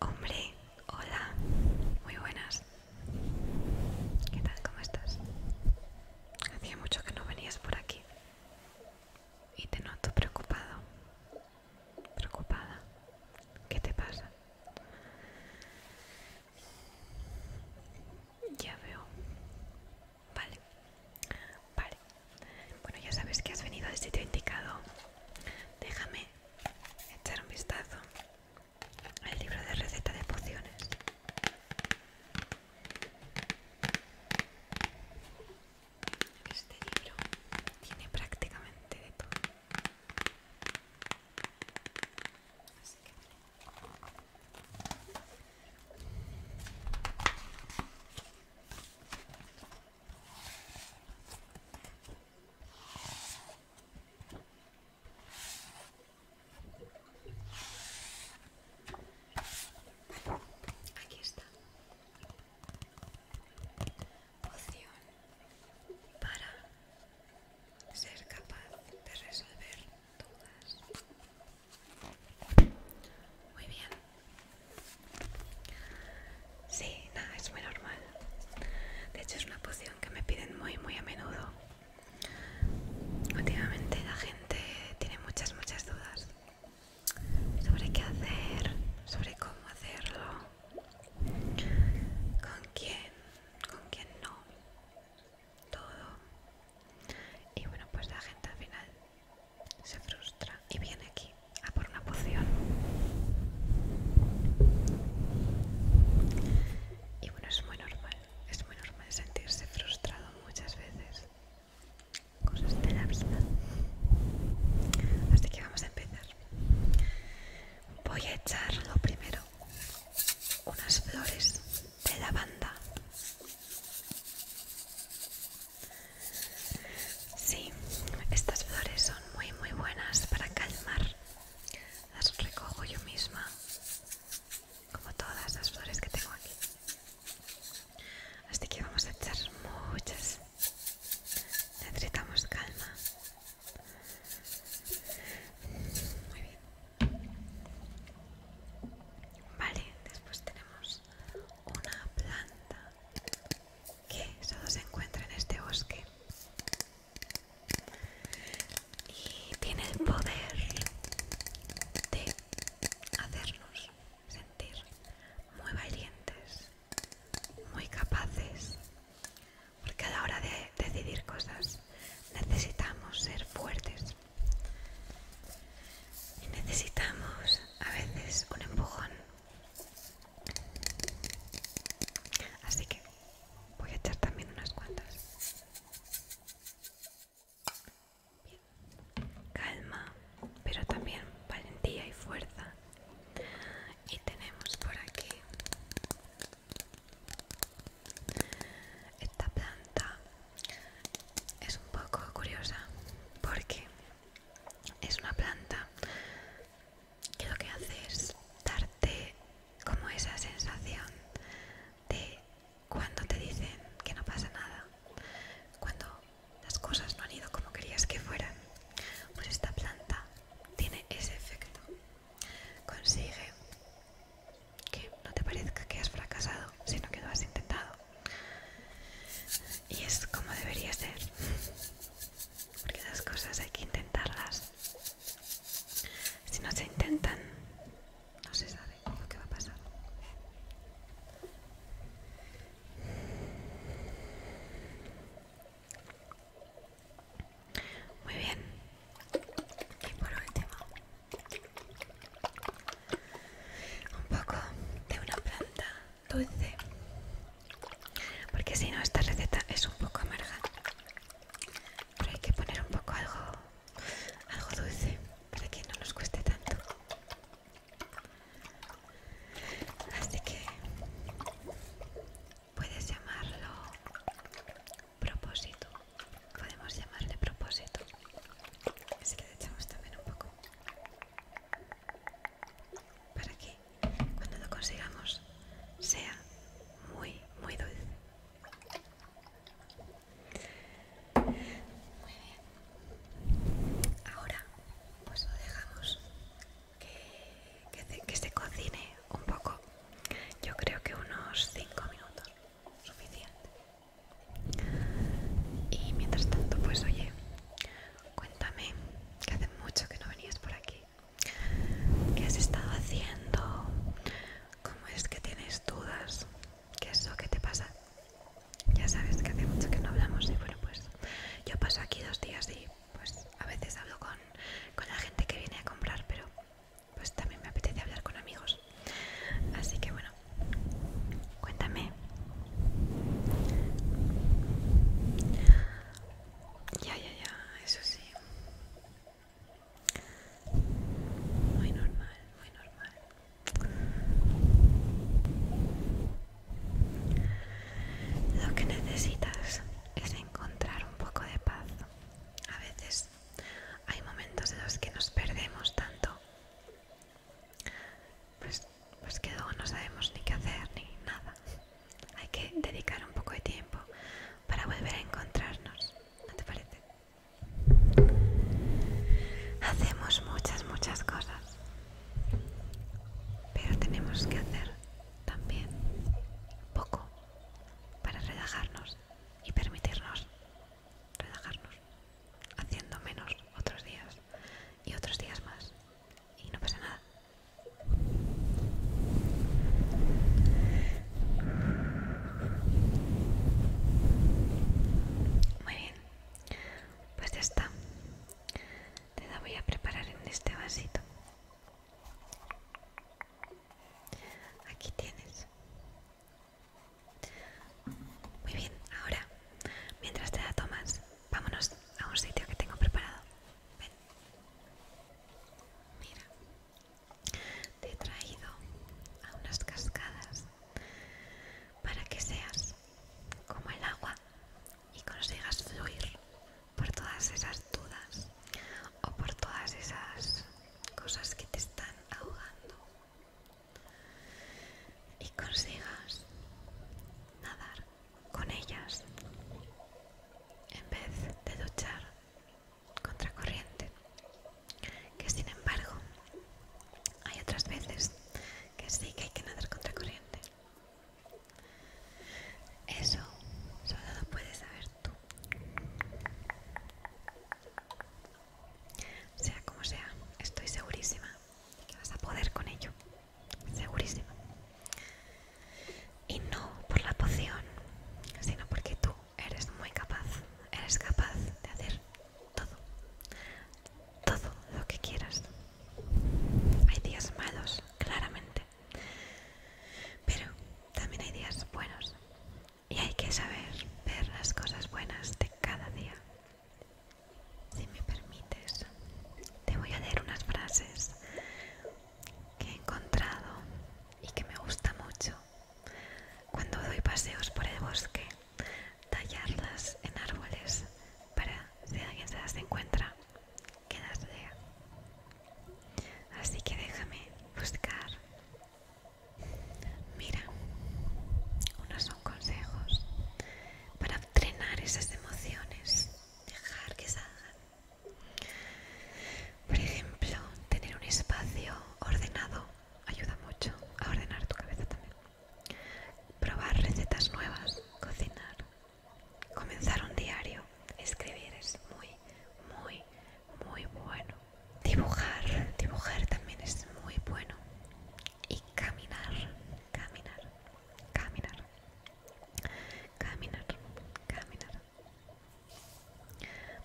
Hombre, hola, muy buenas. ¿Qué tal? ¿Cómo estás? Hacía mucho que no venías por aquí y te noto preocupado. Preocupada. ¿Qué te pasa? Ya veo. Vale. Vale. Bueno, ya sabes que has venido al sitio este indicado. Déjame echar un vistazo al libro de receta de pociones. Este libro tiene prácticamente de todo. Aquí está. Opción para ser capaz de resolver dudas. Muy bien. Sí, nada, es muy normal. De hecho es una poción que me piden muy, muy a menudo. Últimamente la gente tiene muchas, muchas dudas sobre qué hacer, sobre cómo hacerlo, con quién, con quién no. Todo. Y bueno, pues la gente al final se frustra y viene aquí a por una poción. Y bueno, es muy normal, es muy normal sentirse frustrado muchas veces. Cosas de la vida. Así que vamos a empezar. Voy a echar lo primero unas flores de lavanda Sí, estas flores son muy muy buenas para calmar. Las recojo yo misma, como todas las flores que tengo aquí. Así que vamos a echar muchas. Necesitamos calma. Muy bien. Vale, después tenemos una planta que solo se encuentra en este bosque y tiene el poder de hacernos sentir muy valientes, muy capaces, porque a la hora de decidir cosas necesitamos ser fuertes y necesitamos a veces un empujón. Así que voy a echar también unas cuantas. Calma, pero también valentía y fuerza. Y tenemos por aquí esta planta es un poco curiosa porque es una planta que lo que hace es darte como esa sensación de cuando te dicen que no pasa nada, cuando las cosas no han ido como querías que fueran, pues esta planta tiene ese efecto. Consigue que no te parezca que has fracasado, sino que lo has intentado. Y es como debería ser. Porque las cosas hay que intentarlas. Si no se intentan, no se sabe lo que va a pasar. Muy bien. Y por último, un poco de una planta dulce porque si no esta receta es un poco amarga pero hay que poner un poco algo algo dulce para que no nos cueste tanto así que puedes llamarlo propósito. Podemos llamarle propósito. Así le echamos también un poco. Para que cuando lo consigamos sea muy, muy dulce. Muy bien. Ahora pues lo dejamos que, que se cocine un poco. Yo creo que unos 5 minutos suficiente. Y mientras tanto, pues oye, cuéntame que hace mucho que no venías por aquí. ¿Qué has estado haciendo? ¿Cómo es que tienes dudas? ¿Qué es lo que te pasa? Ya sabes que hace mucho que no hablamos y bueno, pues yo paso aquí dos días y pues a veces hablo con, con la gente que viene a comprar, pero pues también me apetece hablar con amigos. Así que bueno, cuéntame. Ya, ya, ya, eso sí. Muy normal, muy normal. Lo que necesitas es encontrar un poco de paz. A veces hay momentos en los que nos perdemos tanto pues, pues que luego no sabemos ni qué hacer ni nada hay que dedicar un poco de tiempo para volver a encontrarnos ¿no te parece? hacemos muchas muchas cosas pero tenemos que hacer también poco para relajarnos y permitirnos relajarnos, haciendo menos otros días y otros días más. Y no pasa nada. Muy bien, pues ya está. Te la voy a preparar en este vasito. Aquí tienes. Muy bien, ahora, mientras te la tomas, vámonos a un sitio que tengo preparado. Ven. Mira, te he traído a unas cascadas para que seas como el agua y consigas fluir por todas esas dudas o por todas esas cosas que te están ahogando y consigas nadar con ellas en vez de luchar contra corriente que sin embargo hay otras veces que sí que hay que nadar contra corriente eso solo lo puedes saber tú. Sea como sea, estoy segurísima que vas a poder con ello. Segurísima. Y no por la poción, sino porque tú eres muy capaz. Eres capaz de hacer todo. Todo lo que quieras. Hay días malos, claramente. Pero también hay días buenos y hay que saber ver las cosas buenas de cada día. Si me permites, te voy a leer unas frases que he encontrado y que me gusta mucho. Cuando doy paseos por el bosque, tallarlas en árboles para si alguien se las encuentra, Quedas Así que déjame buscar. Mira, unos son consejos para entrenar esas emociones, dejar que salgan. Por ejemplo, tener un espacio ordenado ayuda mucho a ordenar tu cabeza también. Probar recetas nuevas, cocinar, Comenzar un diario, escribir es muy, muy, muy bueno. Dibujar, dibujar también es muy bueno. Y caminar, caminar, caminar, caminar, caminar.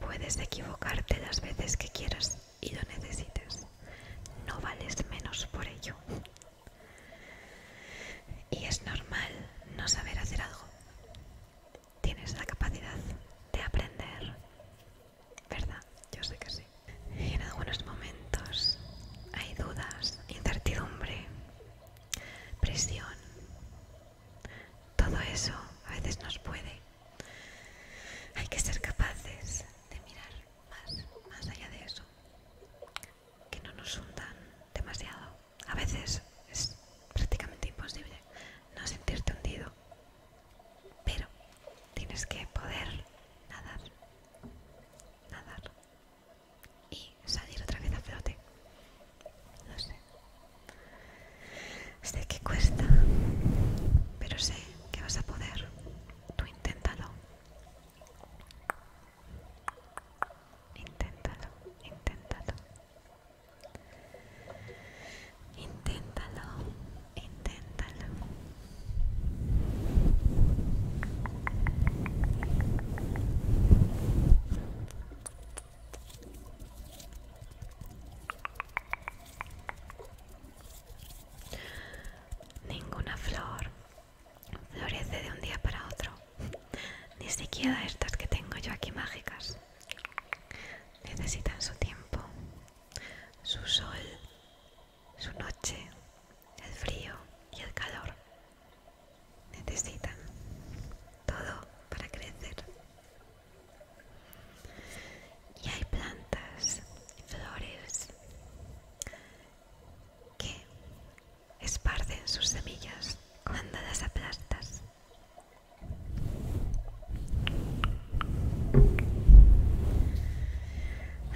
Puedes equivocarte las veces que quieras y lo necesites. No vales menos por ello. Y es normal no saber hacer algo. Tienes la capacidad de aprender, ¿verdad? Yo sé que sí. Y en algunos momentos hay dudas, incertidumbre, presión. Todo eso a veces nos puede. Hay que ser capaces de mirar más, más allá de eso que no nos hundan demasiado. A veces es prácticamente imposible no sentirte hundido, pero tienes que poder nadar, nadar y salir otra vez a flote. No sé. Sé que cuesta, pero sé que vas a poder. Tú inténtalo. Inténtalo, inténtalo. Inténtalo, inténtalo. Ninguna flor florece de un día para otro. Ni siquiera estas que tengo yo aquí mágicas. Necesitan su tiempo, su sol, su noche, el frío y el calor. Necesitan todo para crecer. Y hay plantas, flores que esparcen sus semillas cuando las aplastas.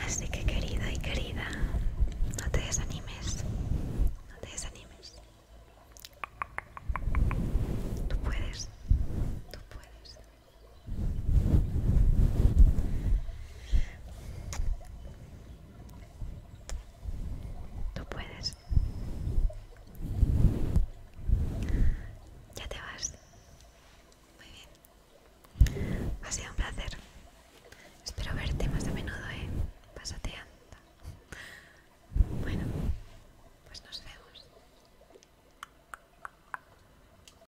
Así que querido y querida, no te desanimes, no te desanimes. Tú puedes, tú puedes. Tú puedes. Ya te vas. Muy bien. Ha sido un placer. Espero verte más de menudo, ¿eh? Pásate Bueno, pues nos vemos.